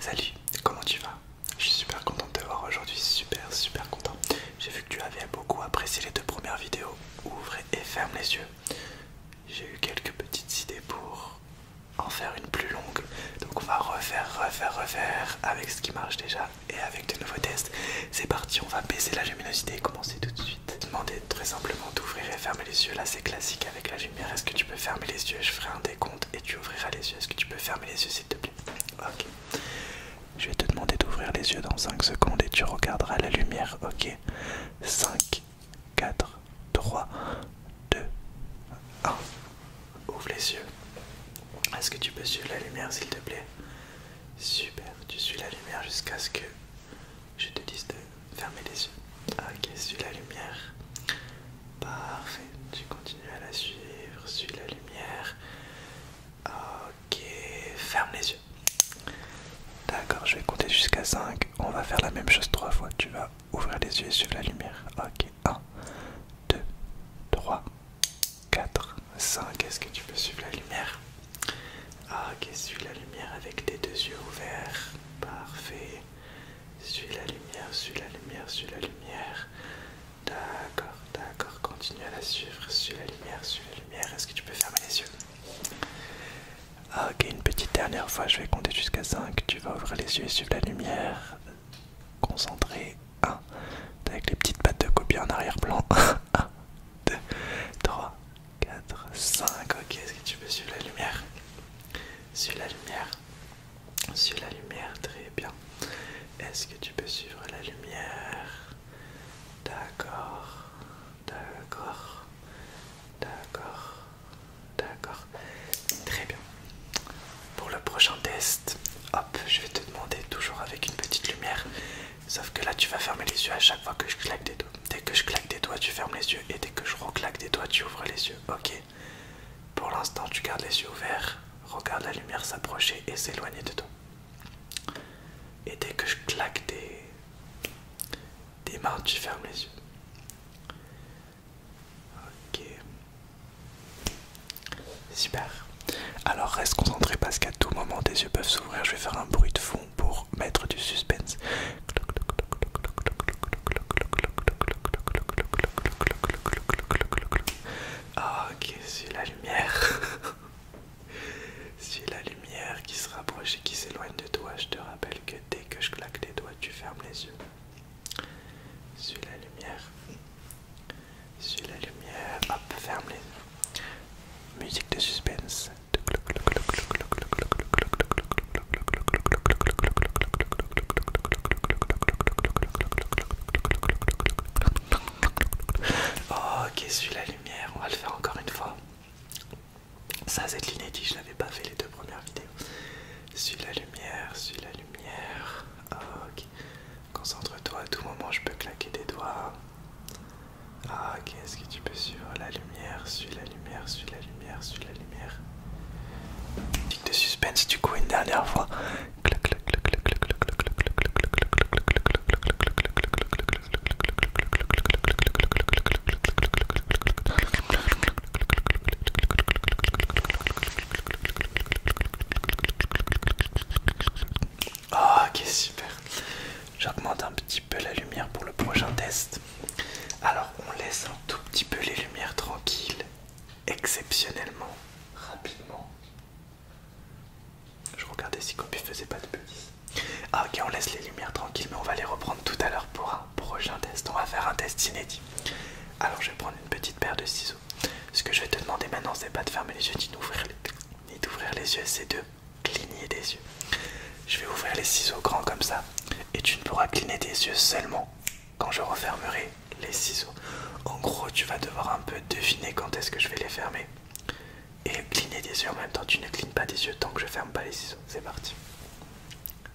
Salut, comment tu vas Je suis super content de te voir aujourd'hui, super super content. J'ai vu que tu avais beaucoup apprécié les deux premières vidéos. Ouvre et ferme les yeux. J'ai eu quelques petites idées pour en faire une plus longue. Donc on va refaire, refaire, refaire avec ce qui marche déjà et avec de nouveaux tests. C'est parti, on va baisser la luminosité et commencer tout de suite. Demandez très simplement d'ouvrir et fermer les yeux. Là c'est classique avec la est-ce que tu peux fermer les yeux Je ferai un décompte et tu ouvriras les yeux. Est-ce que tu peux fermer les yeux, s'il te plaît Ok. Je vais te demander d'ouvrir les yeux dans 5 secondes et tu regarderas la lumière. Ok. 5, 4, 3, 2, 1. Ouvre les yeux. Est-ce que tu peux suivre la lumière, s'il te plaît Super. Tu suis la lumière jusqu'à ce que je te dise de fermer les yeux. Ok, suis la lumière. Parfait, tu continues à la suivre, suis la lumière. Ok, ferme les yeux. D'accord, je vais compter jusqu'à 5. On va faire la même chose 3 fois. Tu vas ouvrir les yeux et suivre la lumière. Ok, 1, 2, 3, 4, 5. Est-ce que tu peux suivre la lumière Ok, suis la lumière avec tes deux yeux ouverts. Parfait. Suis la lumière, suis la lumière, suis la lumière. D'accord, d'accord, continue à la suivre. Suis la lumière, suis la lumière. Est-ce que tu peux fermer les yeux Ok, une petite dernière fois, je vais compter jusqu'à 5. Tu vas ouvrir les yeux et suivre la lumière. Concentré. 1. Avec les petites pattes de copie en arrière-plan. 1, 2, 3, 4, 5. Ok, est-ce que tu peux suivre la lumière Suis la lumière. Sur la lumière, très bien. Est-ce que tu peux suivre la lumière D'accord, d'accord, d'accord, d'accord. Très bien. Pour le prochain test, hop, je vais te demander toujours avec une petite lumière. Sauf que là, tu vas fermer les yeux à chaque fois que je claque des doigts. Dès que je claque des doigts, tu fermes les yeux. Et dès que je reclaque des doigts, tu ouvres les yeux. Ok pour l'instant, tu gardes les yeux ouverts, regarde la lumière s'approcher et s'éloigner de toi. Et dès que je claque des, des mains, tu fermes les yeux. Ok. Super. Alors reste concentré parce qu'à tout moment tes yeux peuvent s'ouvrir. Je vais faire un bruit de fond pour mettre du suspense. Ah, ok, c'est la lumière. c'est la lumière qui se rapproche et qui s'éloigne de toi. Je te rappelle que dès que je claque les doigts, tu fermes les yeux. Suis la lumière. Suis la lumière. Hop, ferme les yeux. Musique de suspense. Oh, ok, suis la lumière, on va le faire encore une fois. Ça c'est l'inédit, je n'avais pas fait les deux premières vidéos. Suis la lumière, suis la lumière. Ok. Concentre-toi, à tout moment je peux claquer des doigts. Ah, ok, est-ce que tu peux suivre la lumière Suis la lumière, suis la lumière lumière, la lumière. Tic de suspense du coup une dernière fois. Ah, ok, super. J'augmente un petit peu la lumière pour le prochain test. Alors on laisse un tout petit peu les lumières tranquilles, exceptionnellement, rapidement. Je regardais si ne faisait pas de bêtises. Ah ok, on laisse les lumières tranquilles, mais on va les reprendre tout à l'heure pour un prochain test. On va faire un test inédit. Alors je vais prendre une petite paire de ciseaux. Ce que je vais te demander maintenant, c'est pas de fermer les yeux ni d'ouvrir les, ni d'ouvrir les yeux, c'est de cligner des yeux. Je vais ouvrir les ciseaux grands comme ça, et tu ne pourras cligner des yeux seulement quand je refermerai les ciseaux. En gros, tu vas devoir un peu deviner quand est-ce que je vais les fermer. Et cligner des yeux en même temps, tu ne clignes pas des yeux tant que je ferme pas les ciseaux. C'est parti.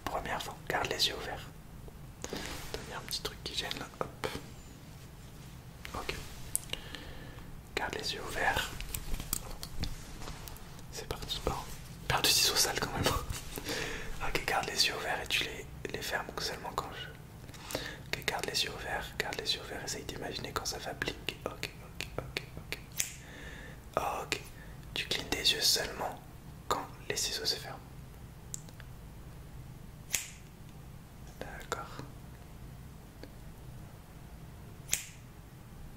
Première fois, garde les yeux ouverts. a un petit truc qui gêne là, hop. Ok. Garde les yeux ouverts. C'est parti perds du ciseaux sale quand même. ok, garde les yeux ouverts et tu les, les fermes seulement quand je. Ok, garde les yeux ouverts, garde les yeux ouverts, essaye d'imaginer quand ça va blink. Ok, ok, ok, ok. Ok, tu clignes des yeux seulement quand les ciseaux se ferment. D'accord.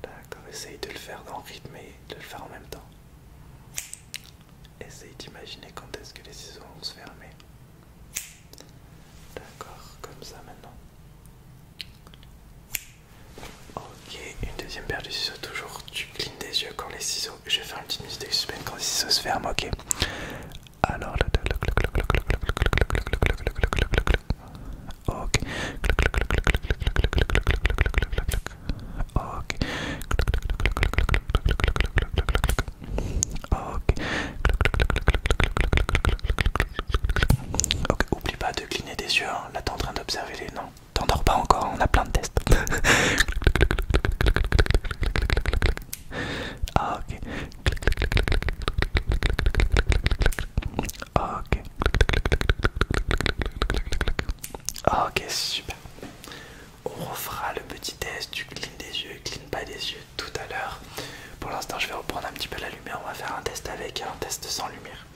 D'accord, essaye de le faire dans le rythme et de le faire en même temps. Essaye d'imaginer quand est-ce que les ciseaux vont se fermer. D'accord, comme ça maintenant. Ok, une deuxième paire de ciseaux toujours. Tu clignes des yeux quand les ciseaux. Je vais faire une petite musique quand les ciseaux se ferment, ok Alors, ok ok, oublie pas de cligner des yeux, là t'es en train d'observer les noms, t'endors pas encore, on a plein de tests. ok, ok. Ok, super. On refera le petit test du clean des yeux clean pas des yeux tout à l'heure. Pour l'instant, je vais reprendre un petit peu la lumière. On va faire un test avec et un test sans lumière.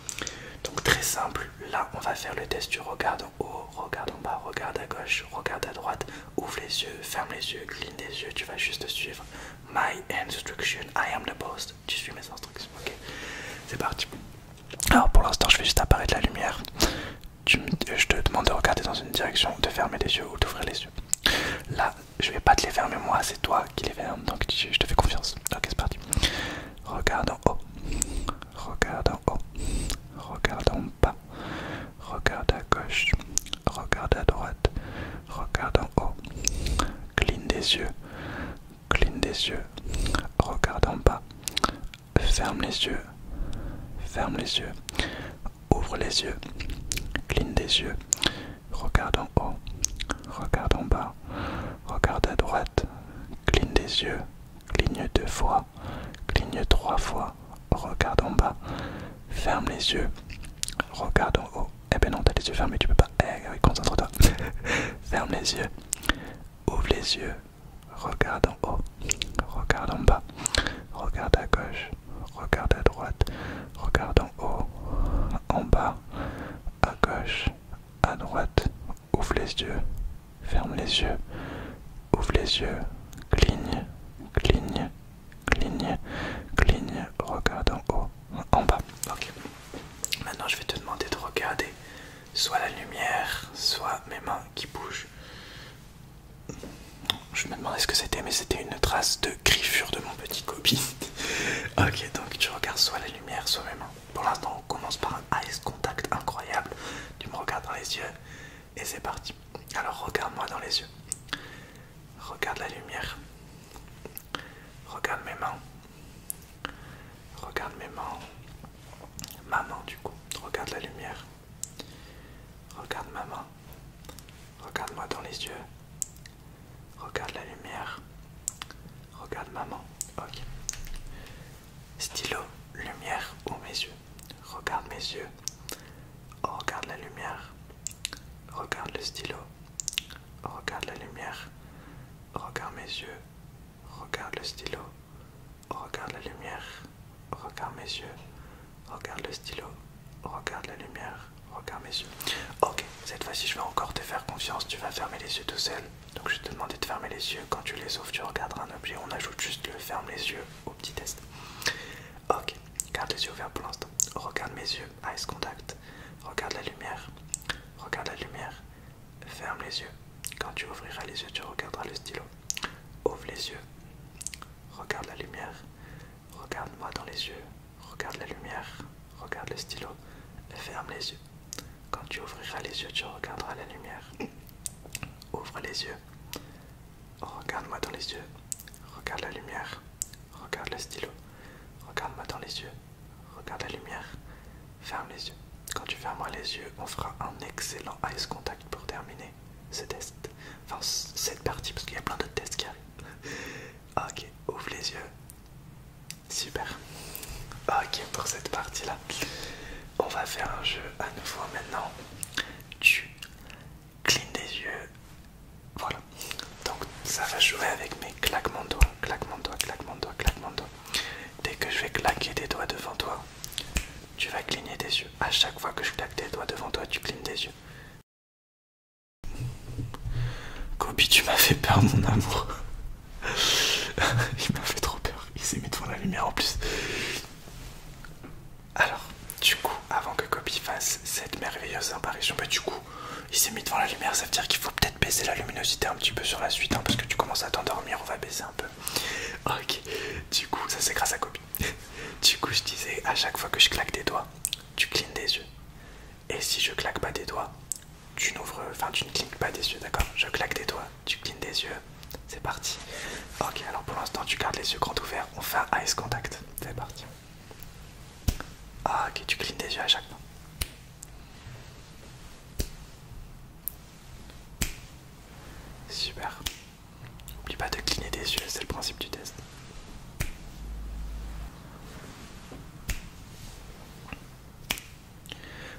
Donc très simple. Là, on va faire le test du regard en haut, regard en bas, regard à gauche, regarde à droite. Ouvre les yeux, ferme les yeux, clean des yeux. Tu vas juste suivre my instruction. I am the boss. Tu suis mes instructions. Ok. C'est parti. Alors pour l'instant, je vais juste apparaître la lumière. Euh, je te demande de regarder dans une direction, de fermer les yeux ou d'ouvrir les yeux. Là, je vais pas te les fermer moi, c'est toi qui les fermes, donc je te fais confiance. Ok, c'est parti. Regarde en haut, regarde en haut, regarde en bas, regarde à gauche, regarde à droite, regarde en haut, cligne des yeux, cligne des yeux, regarde en bas, ferme les yeux, ferme les yeux, ouvre les yeux, cligne des yeux, regarde en haut, regarde en bas, regarde à droite, cligne des yeux, cligne deux fois, cligne trois fois, regarde en bas, ferme les yeux, regarde en haut. Eh ben non, t'as les yeux fermés, tu peux pas. Eh, concentre-toi. ferme les yeux, ouvre les yeux, Regarde en haut, regarde en bas, regarde à gauche, regarde à droite, regarde en haut, en bas, à gauche, à droite, ouvre les yeux, ferme les yeux, ouvre les yeux, cligne, cligne, cligne, cligne, regarde en haut, en bas. Ok. Maintenant je vais te demander de regarder soit la lumière, soit mes mains qui bougent. Je me demandais ce que c'était, mais c'était une trace de griffure de mon petit copie. ok, donc tu regardes soit la lumière, soit mes mains. Pour l'instant, on commence par un ice contact incroyable. Tu me regardes dans les yeux et c'est parti. Alors regarde-moi dans les yeux. Regarde la lumière. Regarde mes mains. Regarde mes mains. maman du coup. Regarde la lumière. Regarde maman Regarde-moi dans les yeux. Regarde la lumière. Regarde maman. Ok. Stylo, lumière ou mes yeux. Regarde mes yeux. Regarde la lumière. Regarde le stylo. Regarde la lumière. Regarde mes yeux. Regarde le stylo. Regarde la lumière, regarde mes yeux, regarde le stylo, regarde la lumière, regarde mes yeux. Ok, cette fois-ci je vais encore te faire confiance, tu vas fermer les yeux tout seul. Donc je vais te demander de fermer les yeux, quand tu les ouvres tu regarderas un objet, on ajoute juste le ferme les yeux au petit test. Ok, garde les yeux ouverts pour l'instant, regarde mes yeux, eyes contact, regarde la lumière, regarde la lumière, Ferme les yeux. Quand tu ouvriras les yeux, tu regarderas le stylo. Ouvre les yeux. Regarde la lumière. Regarde-moi dans les yeux. Regarde la lumière. Regarde le stylo. Ferme les yeux. Quand tu ouvriras les yeux, tu regarderas la lumière. Ouvre les yeux. Regarde-moi dans les yeux. Regarde la lumière. Regarde le stylo. Regarde-moi dans les yeux. Regarde la lumière. Ferme les yeux. Quand tu fermeras les yeux, on fera un excellent ice contact pour terminer ce test. Enfin, cette partie, parce qu'il y a plein d'autres tests qui arrivent. Ok, ouvre les yeux. Super. Ok, pour cette partie-là, on va faire un jeu à nouveau maintenant. Tu clignes les yeux. Voilà. Donc, ça va jouer avec mes claquements de doigts, claquements de doigts, claquements de doigts, claquements de Dès que je vais claquer des doigts devant toi, tu vas cligner des yeux. À chaque fois que je claque des doigts devant toi, tu clignes des yeux. Kobe, tu m'as fait peur, mon amour. Il m'a fait trop peur. Il s'est mis devant la lumière en plus. Alors, du coup, avant que Kobe fasse cette merveilleuse apparition, bah du coup, il s'est mis devant la lumière. Ça veut dire qu'il faut peut-être baisser la luminosité un petit peu sur la suite, hein, parce que tu commences à t'endormir. On va baisser un peu. Ok, du coup, ça c'est grâce à Copy. du coup, je disais à chaque fois que je claque des doigts, tu clignes des yeux. Et si je claque pas des doigts, tu n'ouvres, enfin tu ne clignes pas des yeux, d'accord Je claque des doigts, tu clignes des yeux, c'est parti. Ok, alors pour l'instant, tu gardes les yeux grand ouverts, on fait un ice contact, c'est parti. Ah, ok, tu clignes des yeux à chaque fois. Super. N'oublie pas de cligner des yeux, c'est le principe du test.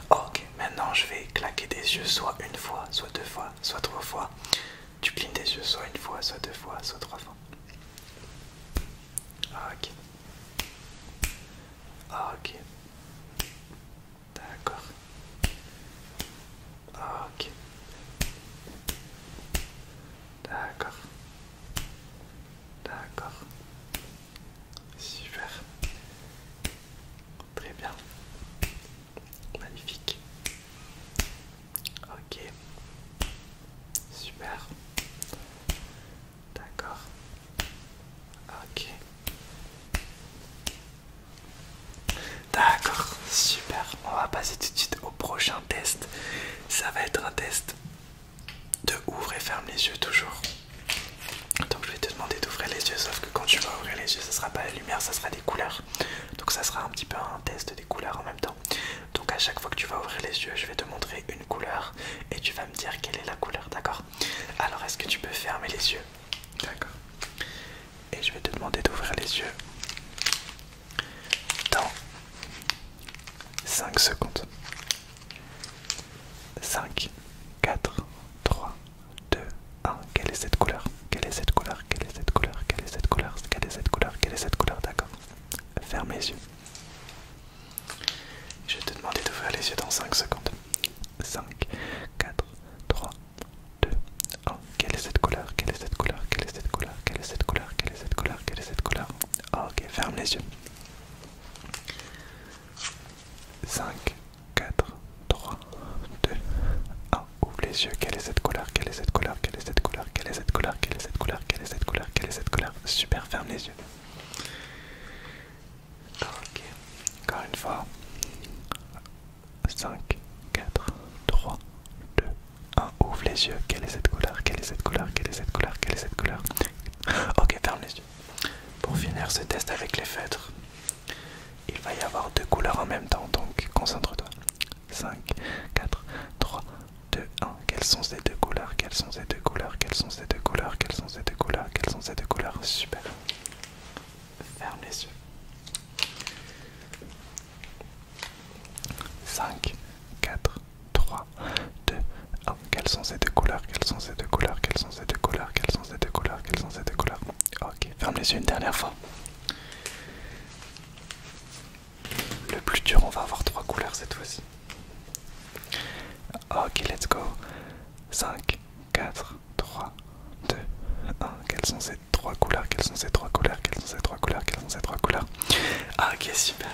Ok, maintenant je vais claquer des yeux soit une fois, soit deux fois, soit trois fois. Tu clignes des yeux soit une fois, soit deux fois, soit trois fois. Ok. Ok. D'accord. Ok. D'accord. D'accord. Super. Très bien. Magnifique. Ok. Super. D'accord. Ok. D'accord, super. On va passer tout de suite au prochain test. Ça va être un test de ouvre et ferme les yeux toujours. Donc je vais te demander d'ouvrir les yeux, sauf que quand tu vas ouvrir les yeux, ça sera pas la lumière, ça sera des couleurs. Donc ça sera un petit peu un test des couleurs en même temps. Donc à chaque fois que tu vas ouvrir les yeux, je vais te montrer une couleur et tu vas me dire quelle est la couleur, d'accord Alors est-ce que tu peux fermer les yeux D'accord. Et je vais te demander d'ouvrir les yeux dans 5 secondes. 5, 4, 3, 2, 1. Quelle est cette couleur Quelle est cette couleur Quelle est cette couleur Quelle est cette couleur Quelle est cette couleur Quelle est cette couleur D'accord. Ferme les yeux. Je vais te demander d'ouvrir les yeux dans 5 secondes. 5, 4, 3, 2, 1. Quelle est cette couleur Quelle est cette couleur Quelle est cette couleur Quelle est cette couleur Quelle est cette couleur est cette couleur Ok, ferme les yeux. 5, 4, 3, 2, 1. Ouvre les yeux. Quelle est cette couleur Quelle est cette couleur Quelle est cette couleur Quelle est cette couleur Quelle est cette couleur Quelle est cette couleur Quelle est cette couleur Super, ferme les yeux. Ok, encore une fois. 5, 4, 3, 2, 1. Ouvre les yeux. Quelle est cette couleur Quelle est cette couleur Quelle est cette couleur Quelle est cette couleur Ok, ferme les yeux. Pour finir ce test avec les feutres, il va y avoir deux couleurs en même temps, donc concentre-toi. 5, 4, 3, 2, 1. Quelles sont ces deux couleurs Quelles sont ces deux couleurs Quelles sont ces deux couleurs Quelles sont ces deux couleurs Quelles sont ces deux couleurs Super. Ferme les yeux. 5, 4, 3, 2, Quelles sont ces deux couleurs Quelles sont ces deux couleurs Quelles sont ces deux couleurs Quelles sont ces deux couleurs Quelles sont ces deux couleurs Ok, ferme les yeux une dernière fois. Le plus dur, on va avoir trois couleurs cette fois-ci. Ok, let's go. 5, 4, 3, 2, 1. Quelles sont ces trois couleurs Quelles sont ces trois couleurs Quelles sont ces trois couleurs Quelles sont ces trois couleurs ah, Ok, super.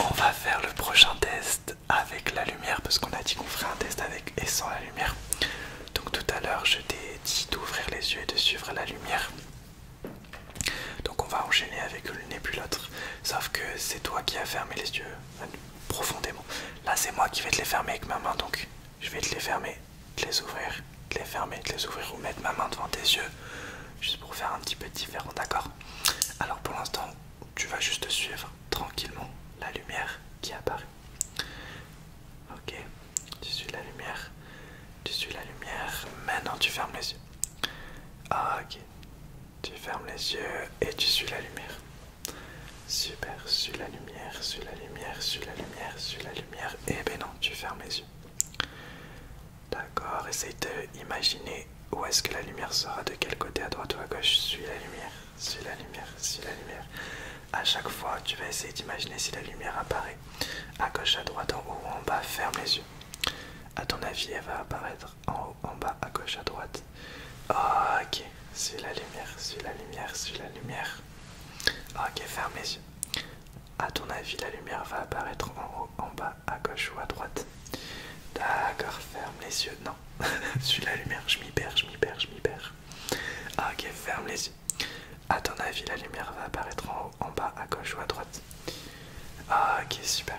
On va faire le prochain test avec la lumière parce qu'on a dit qu'on ferait un test avec et sans la lumière. Donc tout à l'heure, je t'ai dit d'ouvrir les yeux et de suivre la lumière. Donc on va enchaîner avec le et puis l'autre. Sauf que c'est toi qui as fermé les yeux profondément. Là, c'est moi qui vais te les fermer avec ma main, donc je vais te les fermer, te les ouvrir, te les fermer, te les ouvrir ou mettre ma main devant tes yeux, juste pour faire un petit peu différent, d'accord Alors pour l'instant, tu vas juste suivre tranquillement la lumière qui apparaît. Ok, tu suis la lumière, tu suis la lumière. Maintenant, tu fermes les yeux. Ah, ok, tu fermes les yeux et tu suis la lumière. Super, suis la lumière, suis la lumière, suis la lumière, suis la lumière. Et eh ben non, tu fermes les yeux. D'accord, essaye d'imaginer où est-ce que la lumière sera, de quel côté, à droite ou à gauche. Suis la lumière, suis la lumière, suis la lumière. À chaque fois, tu vas essayer d'imaginer si la lumière apparaît. À gauche, à droite, en haut ou en bas, ferme les yeux. À ton avis, elle va apparaître en haut, en bas, à gauche, à droite. Ah, ok, c'est la lumière, suis la lumière, suis la lumière. Ah, ok, ferme les yeux. À ton avis, la lumière va apparaître en haut, en bas, à gauche ou à droite. D'accord, ferme les yeux. Non, suis la lumière, je m'y perds, je m'y perds, je m'y perds. Ah, ok, ferme les yeux. À ton avis, la lumière va apparaître en haut, en bas, à gauche ou à droite. Ok, super.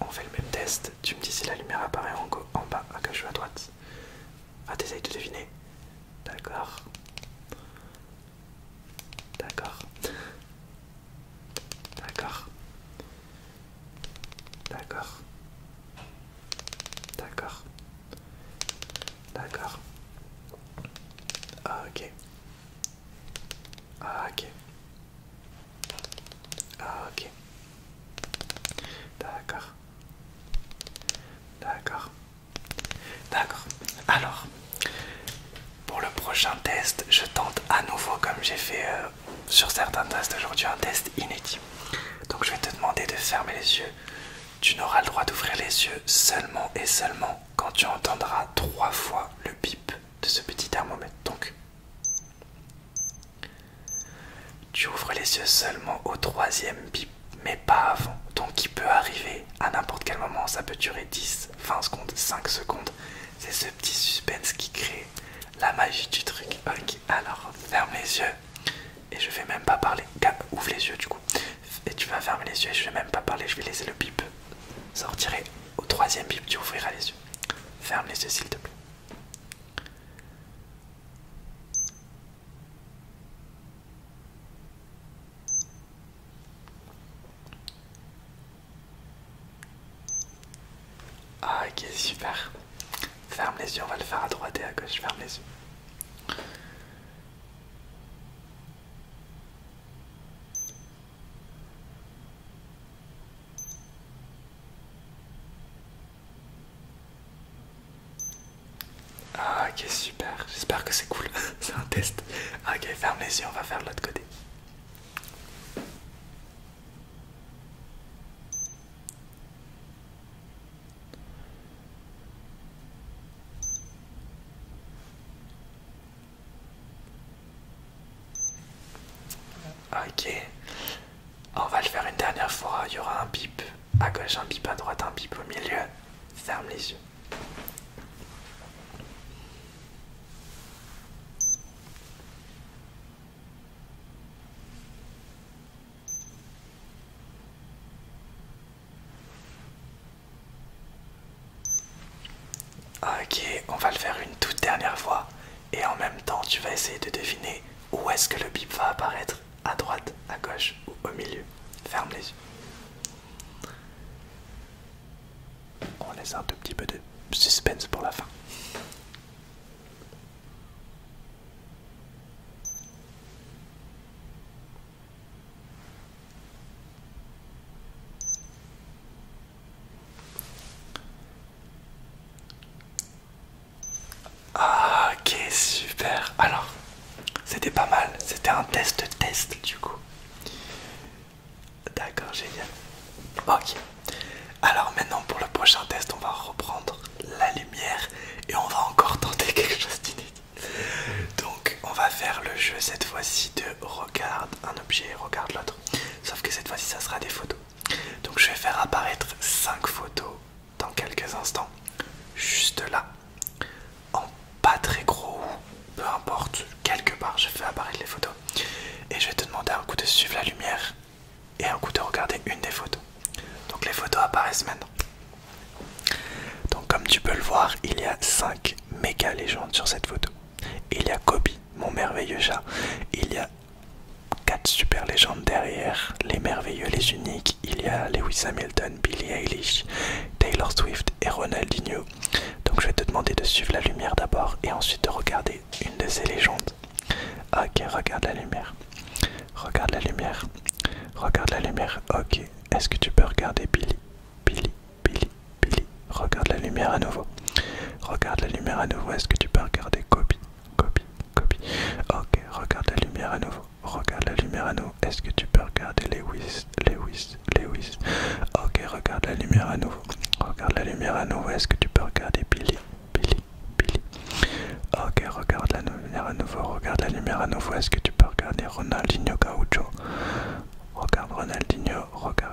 On fait le même test. Tu me dis si la lumière apparaît en, en bas, à gauche ou à droite. Ah, t'essayes de deviner. D'accord. D'accord. D'accord. D'accord. D'accord. D'accord. Ah, ok. Ah, ok. Ah, ok. D'accord. D'accord. D'accord. Alors, pour le prochain test, je tente à nouveau, comme j'ai fait euh, sur certains tests aujourd'hui, un test inédit. Donc, je vais te demander de fermer les yeux. Tu n'auras le droit d'ouvrir les yeux seulement et seulement quand tu entendras trois fois le bip de ce petit thermomètre. Donc, tu ouvres les yeux seulement au troisième bip, mais pas avant. Donc il peut arriver à n'importe quel moment, ça peut durer 10, 20 secondes, 5 secondes. C'est ce petit suspense qui crée la magie du truc. Ok, alors ferme les yeux. Et je vais même pas parler. Ouvre les yeux du coup. Et tu vas fermer les yeux et je vais même pas parler. Je vais laisser le bip sortir. Au troisième bip, tu ouvriras les yeux. Ferme les yeux s'il te plaît. Ah, ok, super. Ferme les yeux, on va le faire à droite et à gauche. Ferme les yeux. Ah, ok, super. J'espère que c'est cool. c'est un test. Ah, ok, ferme les yeux, on va faire l'autre côté. Ok, on va le faire une dernière fois. Il y aura un bip à gauche, un bip à droite, un bip au milieu. Ferme les yeux. Ok, on va le faire une toute dernière fois et en même temps tu vas essayer de deviner où est-ce que le bip va apparaître, à droite, à gauche ou au milieu. Ferme les yeux. On laisse un tout petit peu de suspense pour la fin. Ah, ok, super. Alors, c'était pas mal. C'était un test test du coup. D'accord, génial. Ok. Alors maintenant pour le prochain test, on va reprendre la lumière et on va encore tenter quelque chose d'inédit. Donc on va faire le jeu cette fois-ci de regarde un objet et regarde l'autre. Sauf que cette fois-ci ça sera des photos. Donc je vais faire apparaître 5 photos dans quelques instants, juste là, en pas très gros peu importe, quelque part je fais apparaître les photos. Et je vais te demander un coup de suivre la lumière et un coup de regarder une des photos. Donc les photos apparaissent maintenant. Donc comme tu peux le voir, il y a 5 méga légendes sur cette photo. Il y a Kobe, mon merveilleux chat. Il y a Quatre super légendes derrière, les merveilleux, les uniques, il y a Lewis Hamilton, Billie Eilish, Taylor Swift et Ronaldinho. Donc je vais te demander de suivre la lumière d'abord et ensuite de regarder une de ces légendes. Ok, regarde la lumière. Regarde la lumière. Regarde la lumière. Ok, est-ce que tu peux regarder Billy Billy, Billy, Billy. Regarde la lumière à nouveau. Regarde la lumière à nouveau. Est-ce que tu peux regarder Kobe Copie, copie. Ok, regarde la lumière à nouveau. Regarde la lumière à nouveau. Est-ce que tu peux regarder Lewis, Lewis, Lewis Ok, regarde la lumière à nouveau. Regarde la lumière à nouveau. Est-ce que tu peux regarder Billy, Billy, Billy Ok, regarde la lumière à nouveau. Regarde la lumière à nouveau. Est-ce que tu peux regarder Ronaldinho Gaúcho? Regarde Ronaldinho, regarde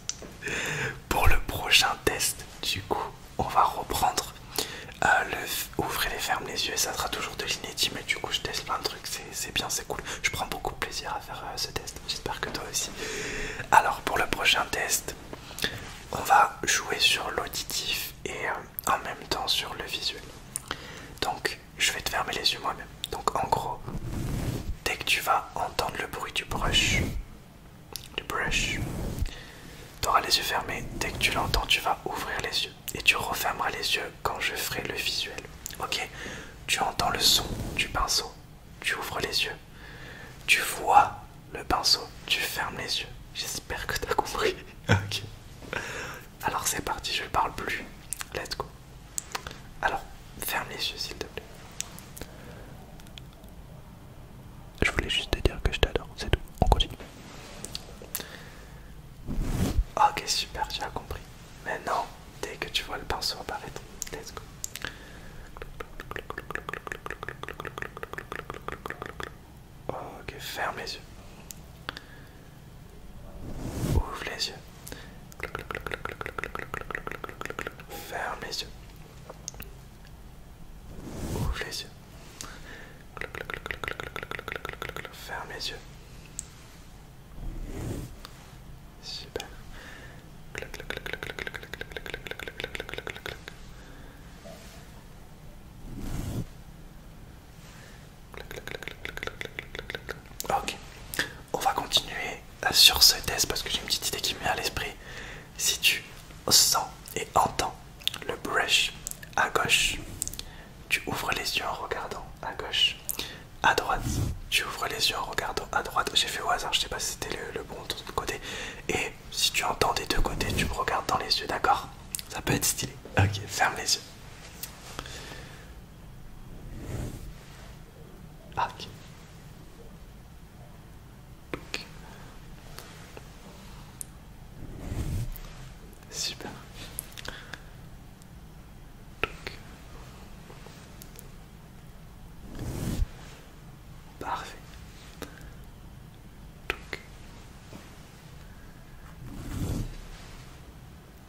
Pour le prochain test, du coup, on va reprendre euh, le ouvrez les fermes les yeux et ça sera toujours de l'inédit. Mais du coup, je teste plein de trucs, c'est bien, c'est cool. Je prends beaucoup de plaisir à faire euh, ce test. J'espère que toi aussi. Alors, pour le prochain test, on va jouer sur l'auditif et euh, en même temps sur le visuel. Donc, je vais te fermer les yeux moi-même. Donc, en gros, dès que tu vas entendre le bruit du brush, le brush. auras les yeux fermés, dès que tu l'entends, tu vas ouvrir les yeux et tu refermeras les yeux quand je ferai le visuel. Ok Tu entends le son du pinceau, tu ouvres les yeux, tu vois le pinceau, tu fermes les yeux. J'espère que tu as compris. ok. Alors c'est parti, je ne parle plus. Let's go. Alors, ferme les yeux s'il te plaît. Je voulais juste te dire que je t'adore, c'est tout. On continue. Ok, super, tu as compris. Maintenant, dès que tu vois le pinceau apparaître, let's go. Ok, ferme les yeux. Ouvre les yeux. Ferme les yeux. Ouvre les yeux. Ferme les yeux. Super. Ok, on va continuer euh, sur ce test parce que j'ai une petite idée qui me vient à l'esprit. Si tu sens et entends le brush à gauche, tu ouvres les yeux en regardant à gauche. À droite, tu ouvres les yeux en regardant à droite. J'ai fait au hasard, je sais pas si c'était le, bon côté. Et si tu entends des deux côtés, tu me regardes dans les yeux, d'accord Ça peut être stylé. Ok, ferme les yeux. Ah, ok Super. Parfait.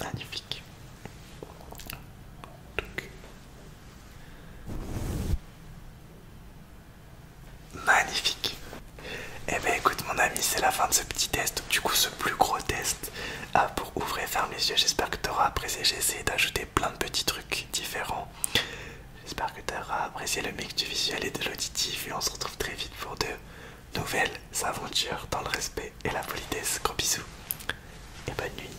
Magnifique. Magnifique. Eh bien écoute mon ami, c'est la fin de ce petit test, du coup ce plus gros test ah, pour ouvrir et fermer les yeux. J'espère que t'auras auras apprécié, j'ai essayé d'ajouter plein de petits trucs différents. J'espère que tu apprécié le mix du visuel et de l'auditif et on se retrouve très vite pour de nouvelles aventures dans le respect et la politesse. Gros bisous et bonne nuit.